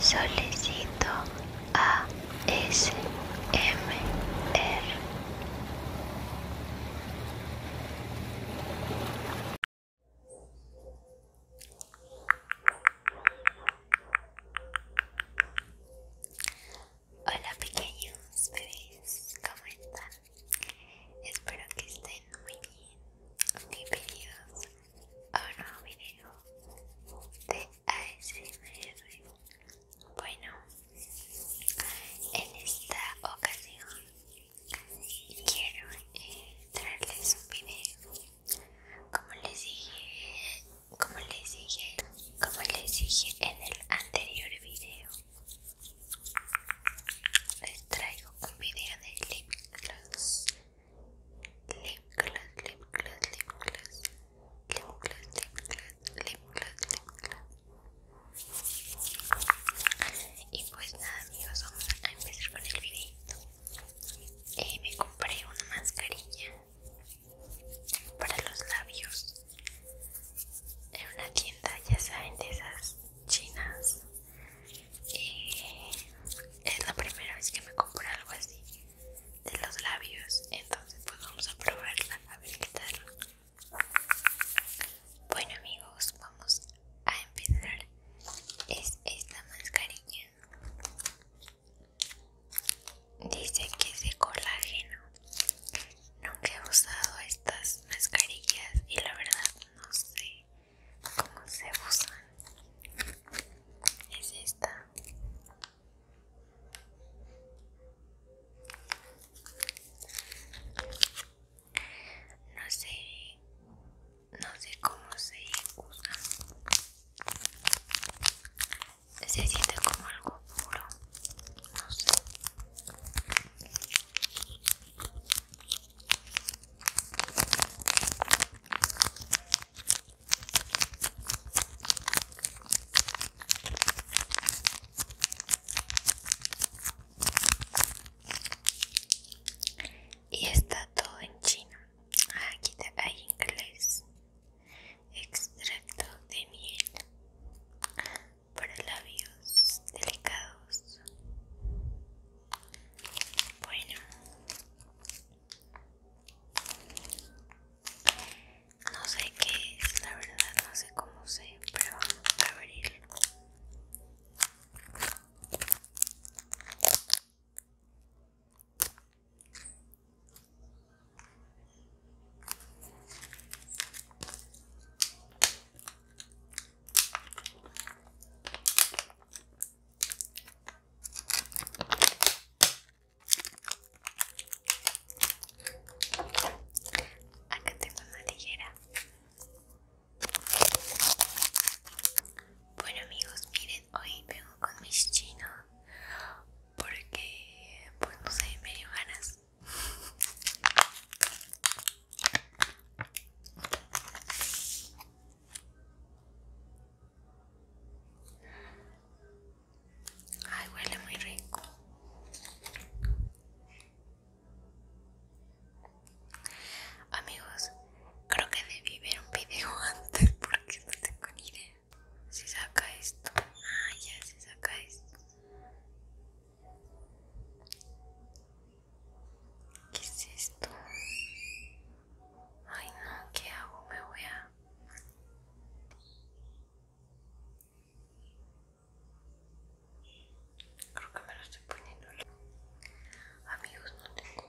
Solicito a S R. Hola pequeños bebés, ¿cómo están? Espero que estén muy bien, bienvenidos un oh, nuevo video de ASMR. Bueno, en esta ocasión quiero eh, traerles un video. Como les dije, como les dije, como les dije en el anterior video, les traigo un video de lip gloss lip gloss, lip gloss, lip gloss, lip Y pues nada amigos, vamos a empezar con el videito. Eh, me compré una mascarilla para los labios en una tienda, ya saben, de esas chinas eh, es la primera vez que me compro algo así de los labios entonces pues vamos a probarla a ver tal bueno amigos vamos a empezar es esta mascarilla dice que es de colágeno nunca he usado estas mascarillas y la verdad no sé cómo se usan es esta no sé no sé cómo se usa se siente como algo puro no sé y está todo en chino. Ah, aquí hay inglés. Extracto de miel para labios delicados. Bueno, no sé qué es, la verdad, no sé cómo sé, pero vamos a abrirlo. Acá tengo una tijera. Bueno amigos, miren, hoy vengo con mis chinos porque pues no sé, me dio ganas. Ay, huele muy rico. Amigos, creo que debí ver un video antes porque no tengo ni idea. Si saca esto. Ah, ya se saca esto. ¿Qué es esto? Ay no, ¿qué hago? Me voy a... Creo que me lo estoy poniendo. Amigos, no tengo...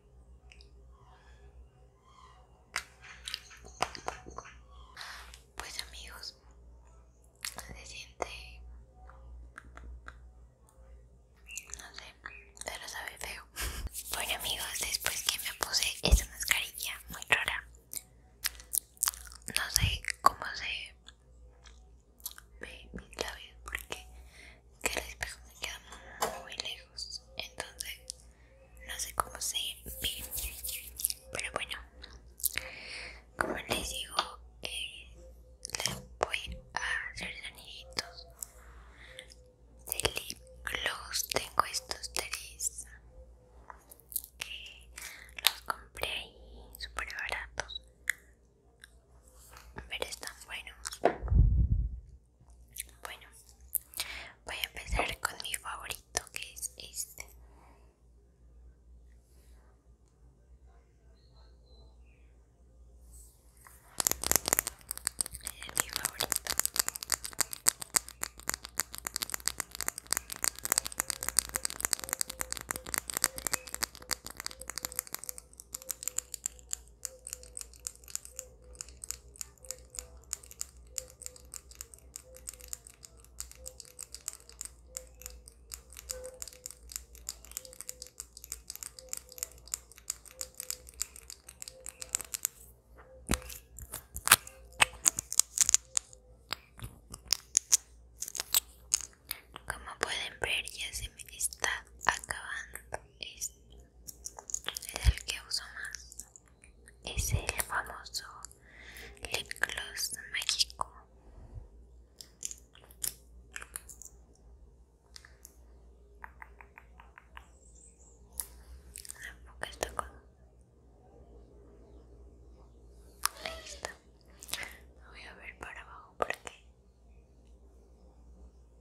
Pues amigos, se siente, no sé, pero sabe feo. Bueno amigos, después que me puse esta mascarilla muy rara, no sé cómo se ve mis labios porque que el espejo me queda muy lejos entonces no sé cómo se ve pero bueno como les digo eh, les voy a hacer anillitos de lip tengo estos tres que los compré ahí super baratos pero están buenos bueno, voy a empezar con mi favorito que es este. mi favorito. Como pueden ver ya se me está acabando esto es el que uso más es el famoso lip gloss mágico Enfoca esta cosa. Ahí está. voy a ver para abajo porque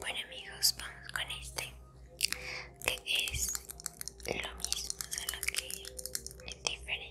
Bueno amigos, vamos con este, que es lo mismo, lo que es diferente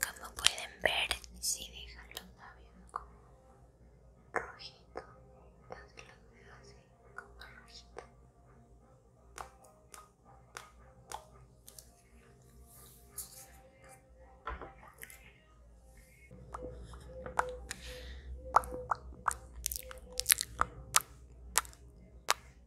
Como pueden ver, si dejan los labios como rojito, los dejo así como rojito.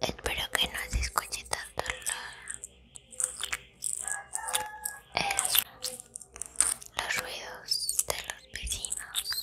Espero que no se escuche tanto la los ruidos de los vecinos.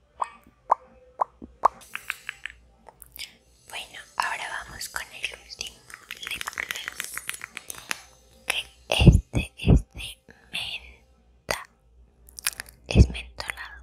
Bueno, ahora vamos con el último lip Que este es de menta. Es mentolado.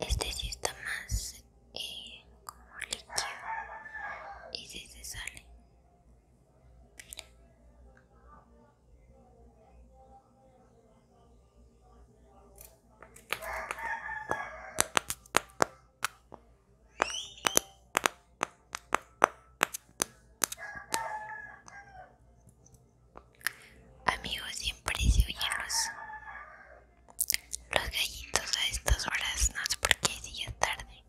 Este sí está más eh, como líquido y desde sí se sale. Amigos, siempre se oyen los, gallitos a estas horas, no sé por qué si ya es tarde.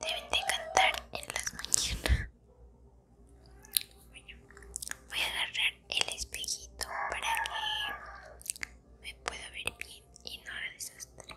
Deben de cantar en las mañanas. voy a agarrar el espejito para que me pueda ver bien y no la desastre.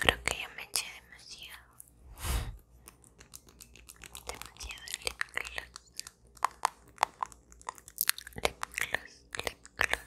Creo que ya me eché demasiado. Demasiado lip gloss. Lip gloss,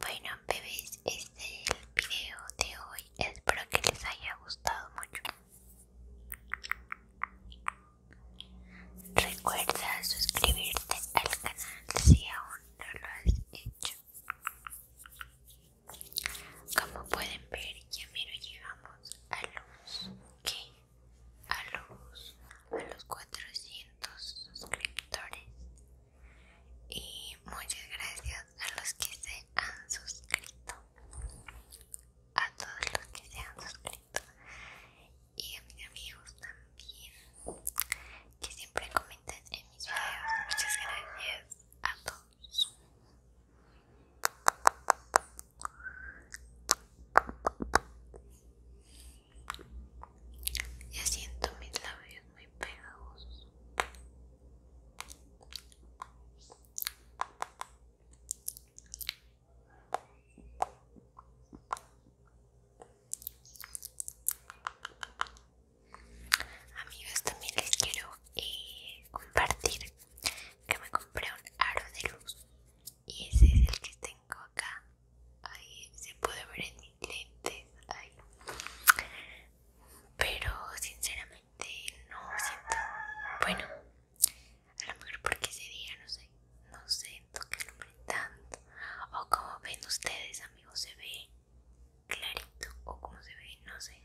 Bueno bebés, este es el video de hoy. Espero que les haya gustado mucho. Recuerda suscribirte al canal si aún no lo has hecho. Como pueden ver, ya mero llegamos a los a los a los 400 suscriptores. Y muchas gracias a los que se han suscrito a todos los que se han suscrito y a mis amigos también que siempre comentan en mis videos. Muchas gracias a todos. Ya siento mis labios muy pegados Amigos, también les quiero eh, compartir que me compré un aro de luz y ese es el que tengo acá. Ahí se puede ver en mis lentes. Pero sinceramente no siento, Bueno, a lo mejor porque ese día no sé, no siento que alumbre tanto. O como ven ustedes, amigos, se ve clarito. O como se ve, no sé.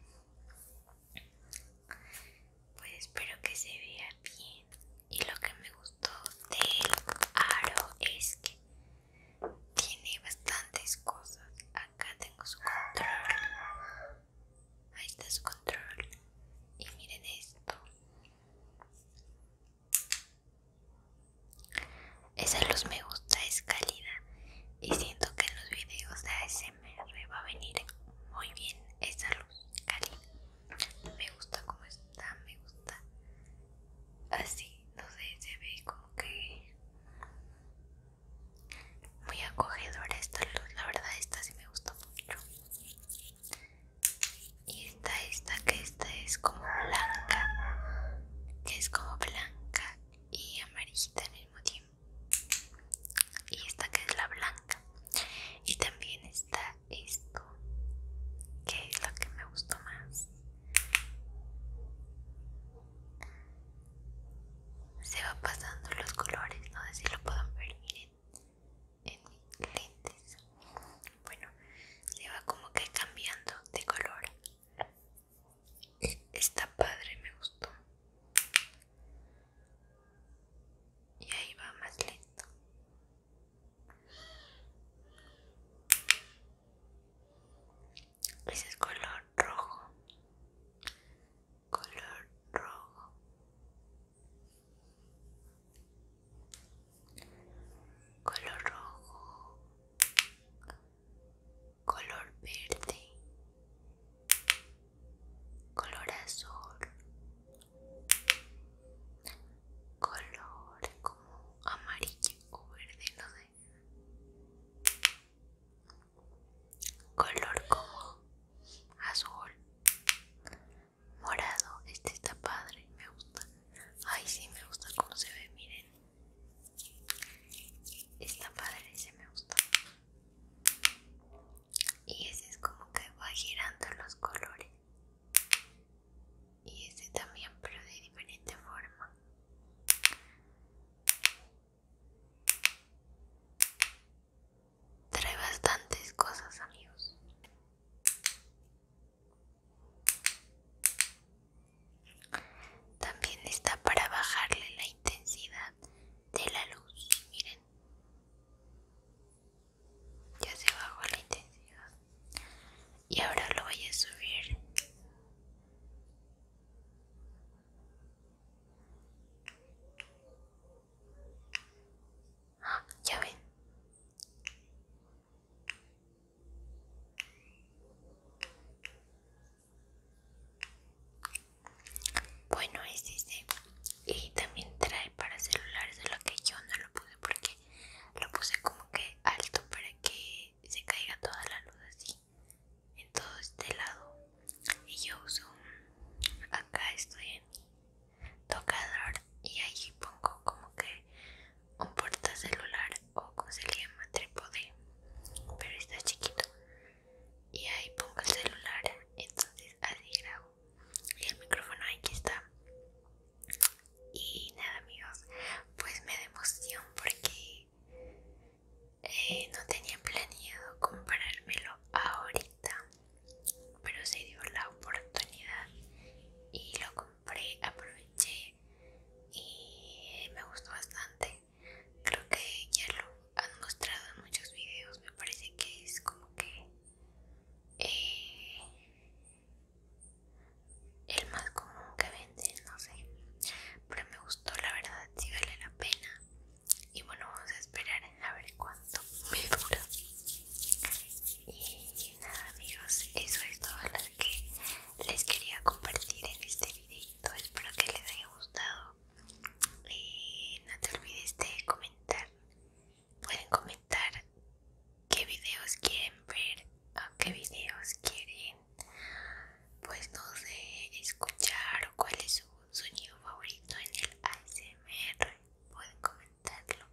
Pues espero que se vea bien. Y lo que me gustó del aro es que tiene bastantes cosas. Acá tengo su control. Ahí está su control. Y miren esto. Esa luz me gusta, es cálida. Y siento que en los videos de ASMR va a venir muy bien esa luz cálida. Me gusta cómo está, me gusta. Así, no sé, se ve como que muy acogedora esta luz, la verdad esta sí me gustó mucho. Y está esta que esta es como blanca, que es como blanca y amarillita al mismo tiempo. Y esta que es la blanca. Y también está esto, que es lo que me gustó más se va pasando los colores no sé si lo pueden ver miren en mis lentes bueno se va como que cambiando de color está padre me gustó y ahí va más lento ese es color rojo color rojo color rojo color verde color azul color como amarillo o verde no color como azul morado este está padre me gusta ay si me gusta cómo se ve miren está padre ese me gusta y ese es como que va girando los colores y este también pero de diferente forma Trae bastantes cosas, amigos. También está para bajarle la intensidad de la luz. Miren. Ya se bajó la intensidad. Y ahora lo voy a subir. Ah, ya ven. Bueno, este Y también trae para celulares, lo que yo no lo puse porque lo puse como que alto para que se caiga toda la luz así en todo este lado y yo uso acá estoy en mi tocador y ahí pongo como que un porta celular o con se pero está chiquito y ahí pongo el celular entonces así grabo y el micrófono aquí está y nada amigos pues me da emoción porque eh, no tenía planeado comprármelo ahorita, pero se dio la oportunidad y lo compré, aproveché y me gustó bastante. Creo que ya lo han mostrado en muchos videos, me parece que es como que eh, el más común que venden, no sé, pero me gustó, la verdad, sí vale la pena y bueno vamos a esperar a ver cuánto me dura y nada amigos eso es todo lo que les quería compartir en este videito espero que les haya gustado y no te olvides de comentar pueden comentar qué videos quieren ver o qué videos quieren pues no sé escuchar o cuál cuáles son un sonido favorito en el ASMR pueden comentarlo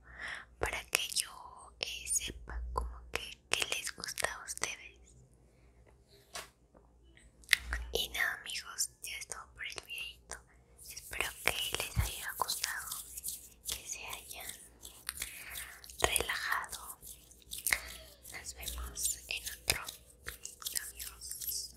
para que yo eh, sepa como que, les gusta a ustedes y nada amigos ya es todo por el videito espero que les haya gustado que se hayan relajado nos vemos en otro video amigos